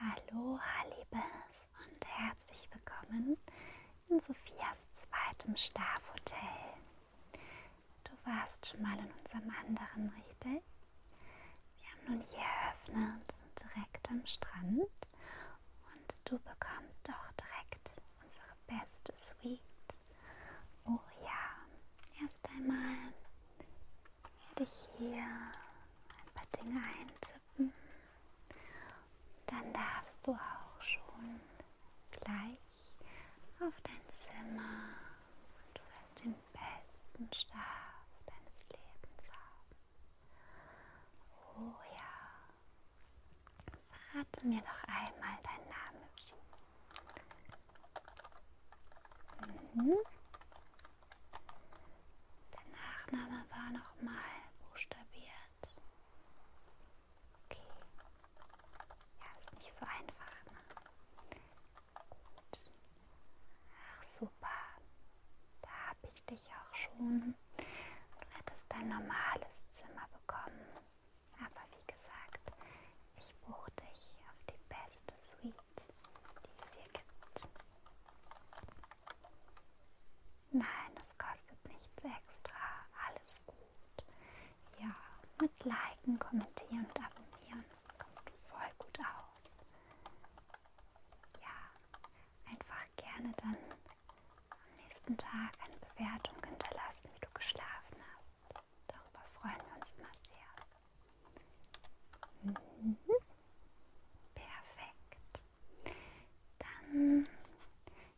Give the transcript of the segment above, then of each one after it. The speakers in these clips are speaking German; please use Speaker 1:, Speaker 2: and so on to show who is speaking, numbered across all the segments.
Speaker 1: Hallo, Liebes und herzlich willkommen in Sophias zweitem Schlafhotel. Du warst schon mal in unserem anderen, richtig? Wir haben nun hier eröffnet, direkt am Strand und du bekommst auch direkt unsere beste Suite. Oh ja, erst einmal werde ich hier ein paar Dinge eintippen. Dann darfst du auch schon gleich auf dein Zimmer. Du wirst den besten Schlaf deines Lebens haben. Oh ja. Verrate mir doch einmal deinen Namen. Mhm. Der Nachname war nochmal buchstabiert. Okay. Ja, ist nicht so einfach, ne? Gut. Ach super. Da habe ich dich auch schon. Du hättest ein normales Zimmer bekommen. Aber wie gesagt, ich buche dich auf die beste Suite die es hier gibt. Nein, es kostet nichts extra. Alles gut. Ja, mit Liken, Kommentieren und Abonnieren kommst du voll gut aus. Ja, einfach gerne dann am nächsten Tag eine Bewertung hinterlassen, wie du geschlafen hast. Darüber freuen wir uns immer sehr. Mhm. Perfekt. Dann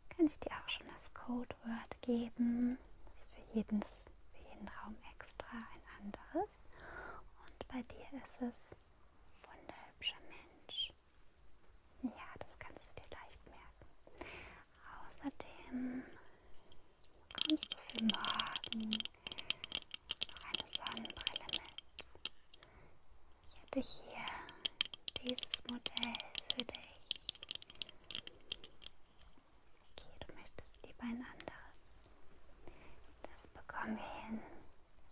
Speaker 1: kann ich dir auch schon das Codewort geben. Das ist für, jedes, für jeden Raum extra ein anderes. Und bei dir ist es wunderhübscher Mensch. Ja, das kannst du dir leicht merken. Außerdem kommst du für morgen noch eine Sonnenbrille mit. Ich habe hier dieses Modell für dich. Okay, du möchtest lieber ein anderes. Das bekommen wir hin.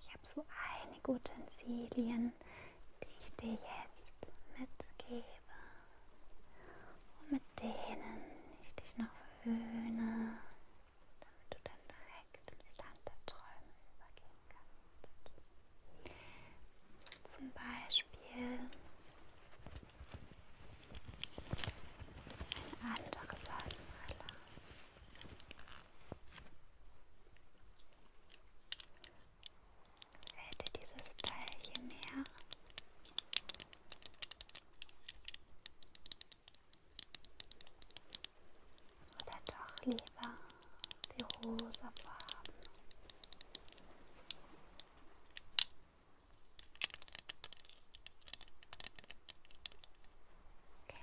Speaker 1: Ich habe so einige Utensilien, die ich dir jetzt mitgebe und mit denen ich dich noch verwöhne damit du dann direkt ins Land der Träume übergehen kannst. So zum Beispiel eine andere Sonnenbrille. Fällt dir dieses Teil hier näher? Oder doch lieber die rosa Farben? Okay.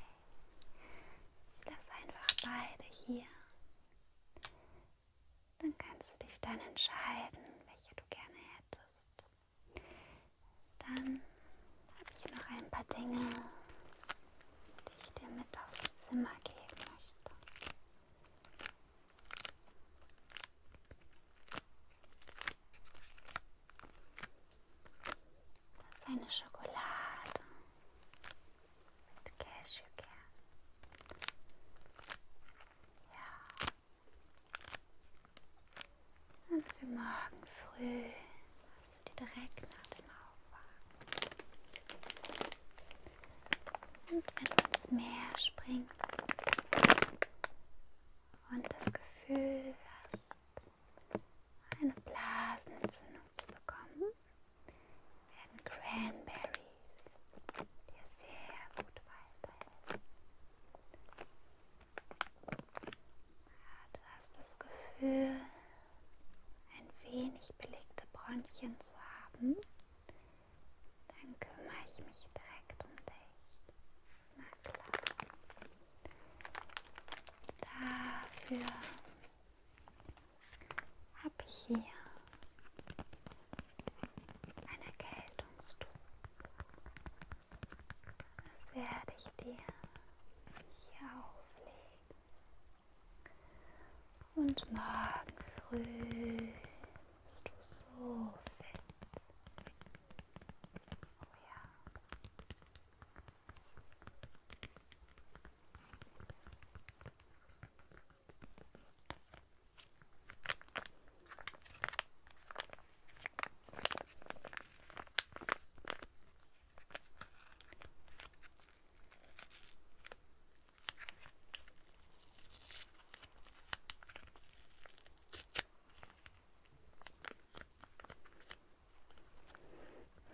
Speaker 1: Ich lasse einfach beide hier. Dann kannst du dich dann entscheiden, welche du gerne hättest. Dann habe ich noch ein paar Dinge, die ich dir mit aufs Zimmer geben möchte. Das ist eine Schokolade mit Cashewkern. Ja, und für morgen früh hast du dir direkt nach dem Aufwachen. Und wenn du ins Meer springst und das Gefühl hast, eine Blasenentzündung zu bekommen, werden Cranberries dir sehr gut weiterhelfen. Du hast das Gefühl, ein wenig belegte Bronchien zu haben. Dann kümmere ich mich direkt um dich. Na klar. Dafür habe ich hier ein Erkältungstuch. Das werde ich dir hier auflegen. Und morgen früh bist du so fit. Oh ja.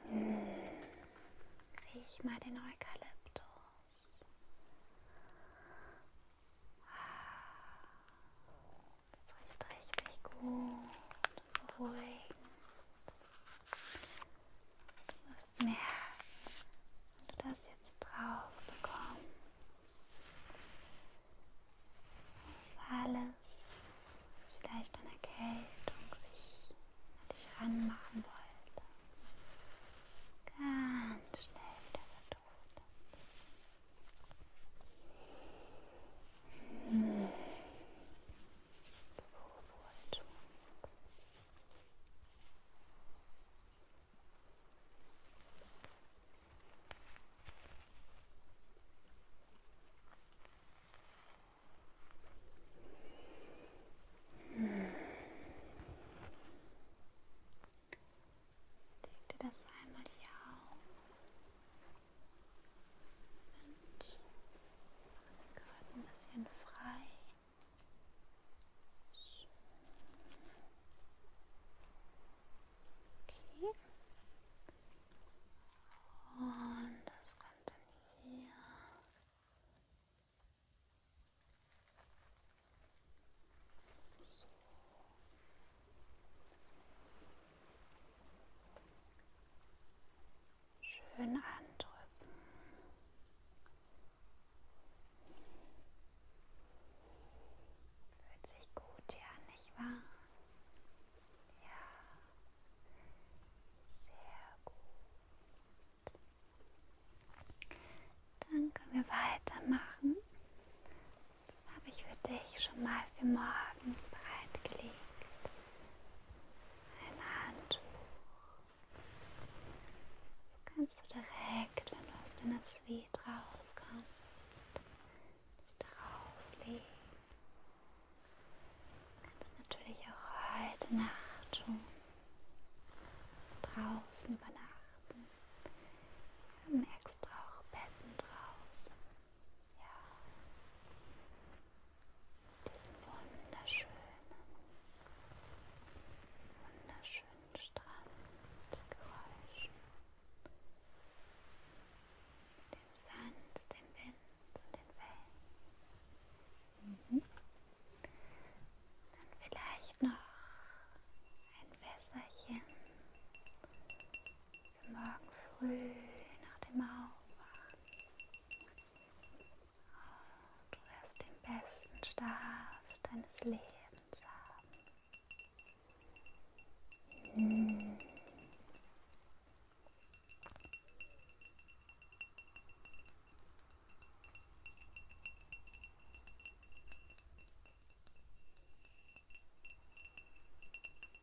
Speaker 1: Hm. Riech mal den Eukalyptus. Das riecht richtig gut, beruhigend. Du wirst merken, wenn du das jetzt drauf bekommst, dass alles, was vielleicht an Erkältung sich an dich ranmachen wollte, ganz schnell wieder verduftet. So wohltuend. Leg dir das einmal hier auf. Und machen den Gurt ein bisschen frei. Okay. Und das kommt dann hier. So. Schön andrücken. Fühlt sich gut hier an, nicht wahr? Ja, sehr gut. Dann können wir weitermachen das habe ich für dich schon mal für morgen bereitgelegt. Ein Handtuch. So kannst du direkt, wenn du aus deiner Suite rauskommst, drauflegen. Du kannst natürlich auch heute Nacht schon draußen übernachten. Wir haben extra auch Betten draußen ja, diesen wunderschönen, wunderschönen Strandgeräuschen, dem Sand, dem Wind und den Wellen. Mhm. Dann vielleicht noch ein Wässerchen Morgen früh nach dem Aufwachen. Oh, du wirst den besten Schlaf deines Lebens haben. Hm. hm.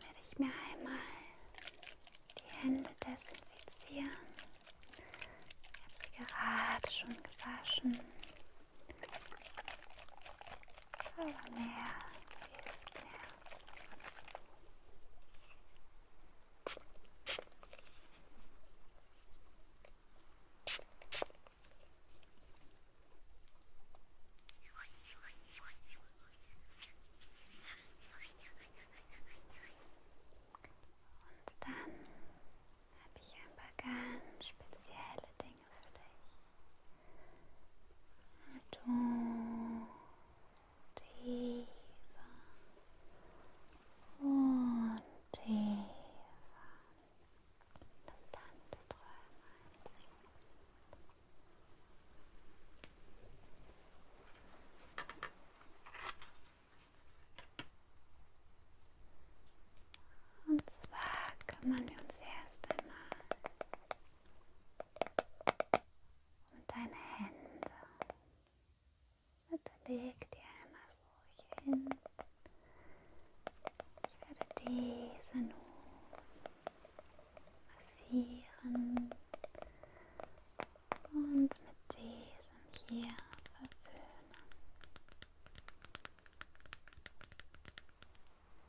Speaker 1: werde ich mir einmal die Hände desinfizieren. Ich habe sie gerade schon gewaschen. Aber mehr hilft mehr. Und dann habe ich ein paar ganz spezielle Dinge für dich. Du tiefer und tiefer das Land der Träume einsinkst. Und zwar kümmern wir uns erst einmal um deine Hände. Bitte leg die einmal so hin. Ich werde diese nun massieren und mit diesem hier verwöhnen.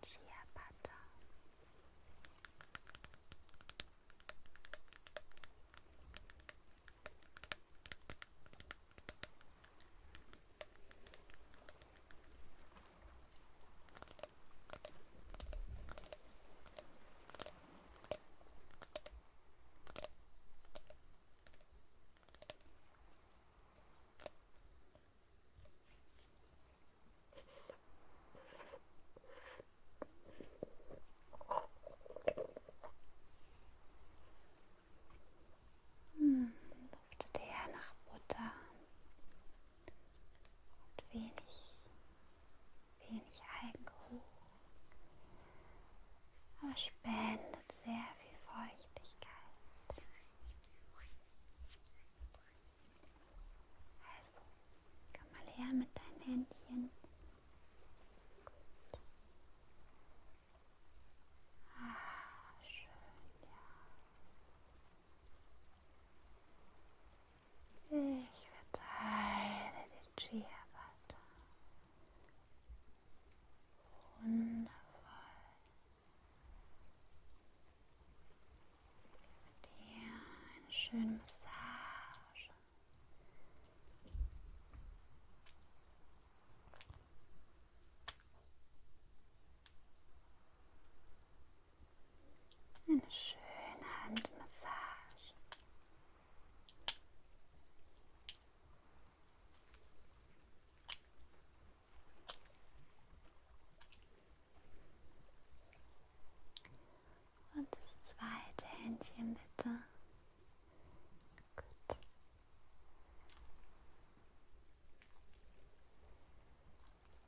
Speaker 1: Chia Butter. Hm, duftete er nach Butter und wenig wenig Alkohol, aber spendet sehr viel Feuchtigkeit. Also, komm mal her mit deinen Händchen. Gut. Ah, schön, ja. Ich verteile den Chia Butter. Wundervoll. Dir eine schöne Massage. Eine schöne Handmassage. Und das zweite Händchen bitte. Gut.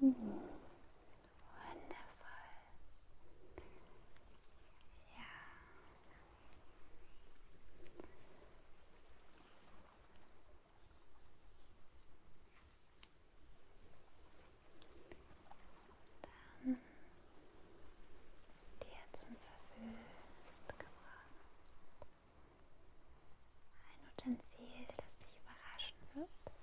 Speaker 1: Hm. Wundervoll. Ja. Dann die Herzen verwöhnt gebracht. Ein Utensil, das dich überraschen wird.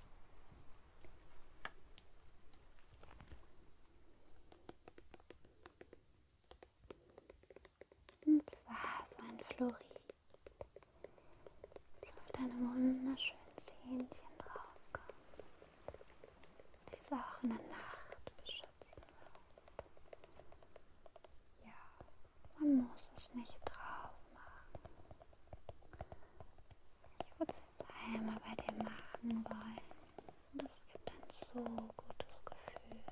Speaker 1: Und zwar so ein Florid. So mit einem wunderschönen Zähnchen draufkommt. Das auch in der Nacht beschützen wird. Ja, man muss es nicht drauf machen. Ich würde es jetzt einmal bei dir machen wollen. Das gibt ein so gutes Gefühl.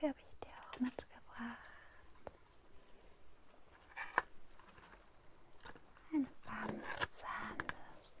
Speaker 1: Dafür habe ich dir auch mitgebracht. Eine Bamszahnbürste.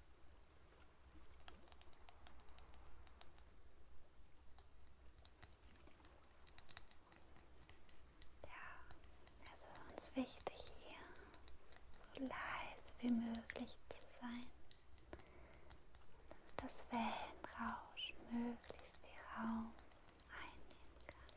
Speaker 1: Ja, es ist uns wichtig, hier so leise wie möglich zu sein, damit das Wellenrauschen möglichst viel Raum einnehmen kann.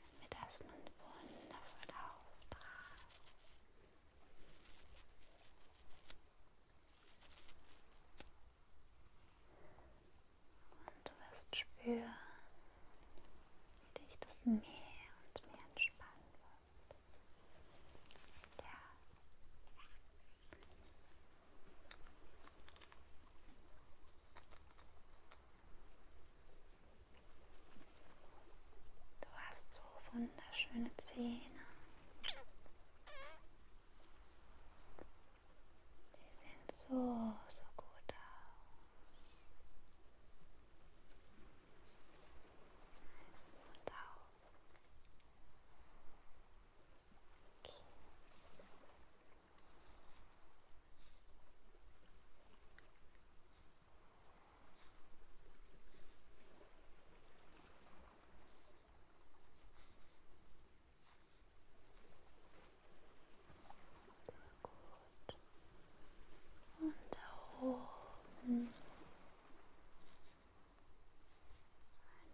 Speaker 1: Wenn wir das nun wundervoll auftragen. Und du wirst spüren, wie dich das mehr und mehr entspannen wird. Ja, Du hast so wunderschöne Zähne. Die sehen so, so gut aus. Heißen Mund auf. Okay. Gut. Und da oben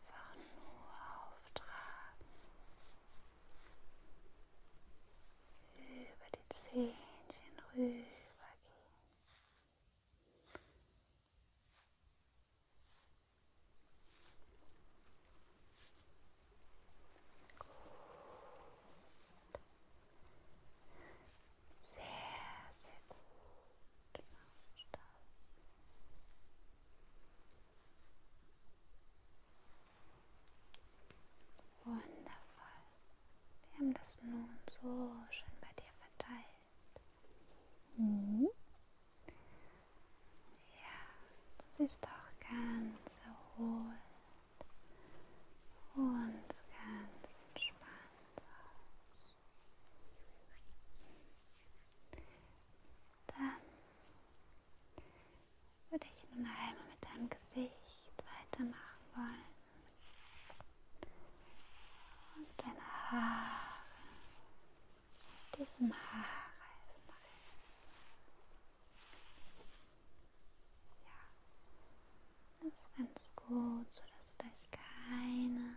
Speaker 1: einfach nur auftragen über die Zähnchen rübergehen. Gut. Sehr, sehr gut machst du das. Wundervoll. Wir haben das nun so schön bei dir verteilt. Mhm. Ja, du siehst auch ganz erholt und ganz entspannt aus. Dann würde ich nun einmal mit deinem Gesicht weitermachen wollen. Und deine Haare, diesem Haarreifen machen. Ja, das ist ganz gut, sodass gleich keine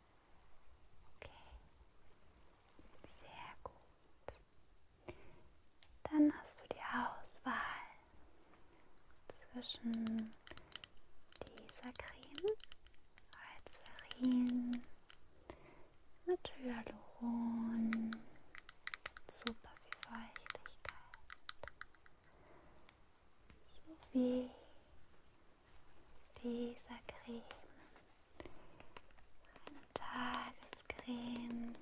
Speaker 1: Okay, sehr gut. Dann hast du die Auswahl zwischen dieser Creme, Alzerin, mit Hyaluron, super viel Feuchtigkeit sowie dieser Creme. Eine Tagescreme,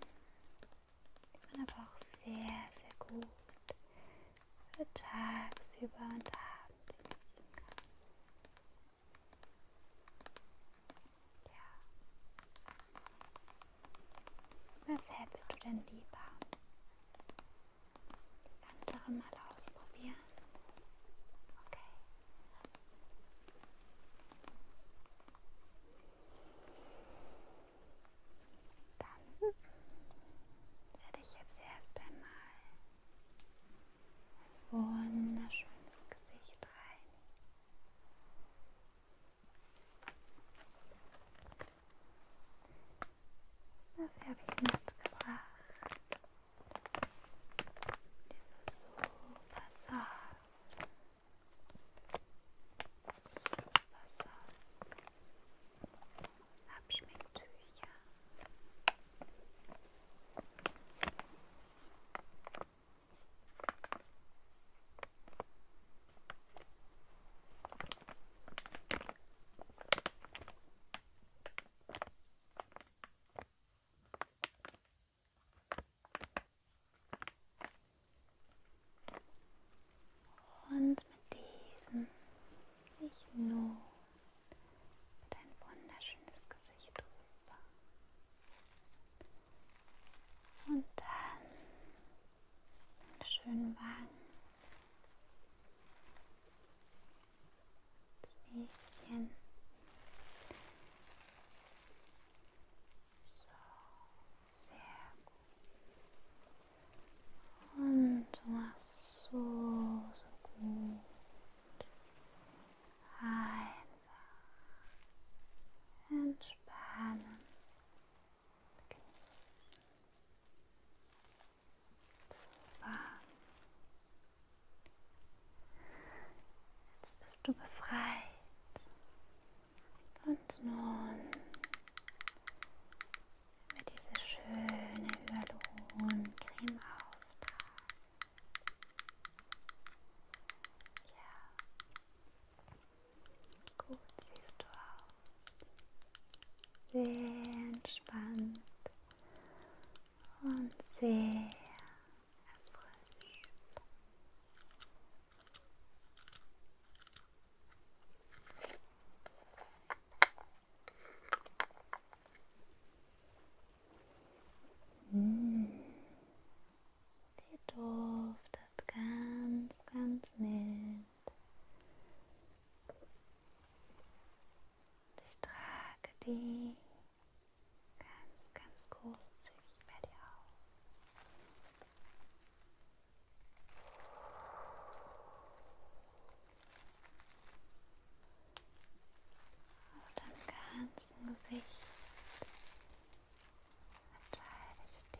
Speaker 1: die man aber auch sehr, sehr gut für tagsüber und abends nutzen kann. Ja. Was hättest du denn lieber? andere mal ausprobieren. Okay. Dann werde ich jetzt erst einmal ein wunderschönes Gesicht reinigen. Dafür habe ich mitgebracht. Diese super Sache. Super Sache. Abschminktücher. Und mit diesem ich nur dein wunderschönes Gesicht drüber. Und dann einen schönen Wagen das Näschen. So, sehr gut. Und du machst es so, so gut. Einfach entspannen. Genießen. So warm. Jetzt bist du befreit. Und nun mit diese schöne Hyaluroncreme auftragen. Ja. Gut siehst du aus sehr entspannt und sehr erfrischt. Mm. Der Duft ist ganz, ganz mild und ich trage die ganz, ganz großzügig bei dir auf. Auf deinem ganzen Gesicht verteile ich die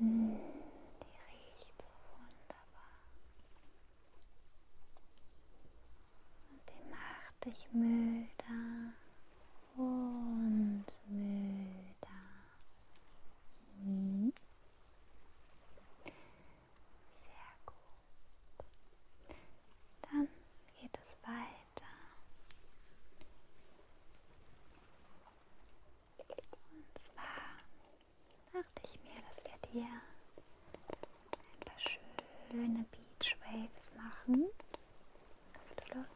Speaker 1: Die riecht so wunderbar. Und die macht dich müder und müder. Hm. Sehr gut. Dann geht es weiter weiter. Und zwar dachte ich mir, dass wir dir ein paar schöne Beach Waves machen. Hast du Lust?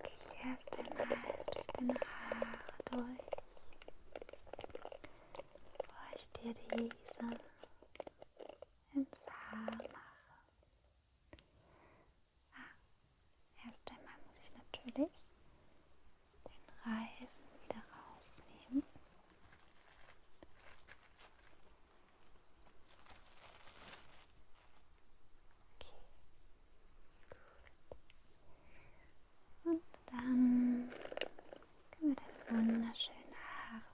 Speaker 1: Gehe ich erst einmal durch deine Haare durch, bevor ich dir diese ins Haar mache. Ah, erst einmal muss ich natürlich den Reifen wieder rausnehmen. Okay, gut. Und dann können wir da wunderschöne Haare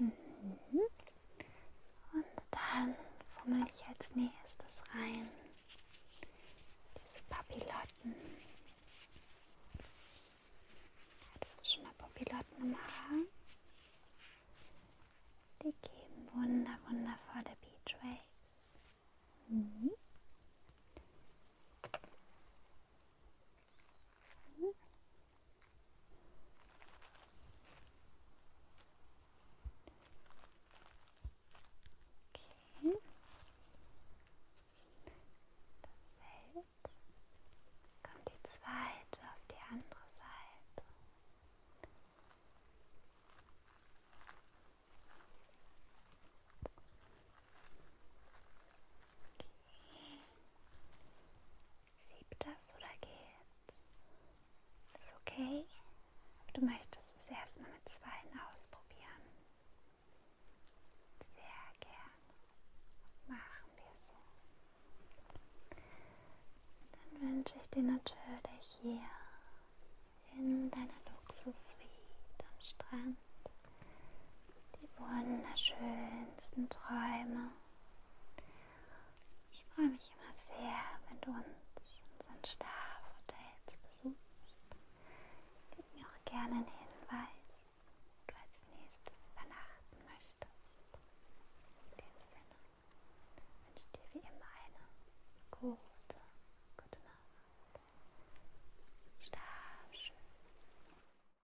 Speaker 1: Mhm. Und dann fummel ich als nächstes rein diese Papillotten. Hattest du schon mal Papillotten im Haar? Die geben wunder, wundervolle Beachwaves. Mhm. Okay. Das hält. Kommt die zweite auf die andere Seite. Okay. Sieht das oder geht's? Ist okay? Du möchtest es erstmal mit zweien ausprobieren. Sehr gern. Machen wir so. Dann wünsche ich dir natürlich hier in deiner Luxus-Suite am Strand die wunderschönsten Träume. Ich freue mich immer sehr, wenn du uns unseren Schlafhotels besuchst. Gib mir auch gerne einen Hinweis, wo du als nächstes übernachten möchtest. In dem Sinne wünsche dir wie immer eine gute, gute Nacht. Schlaf schön.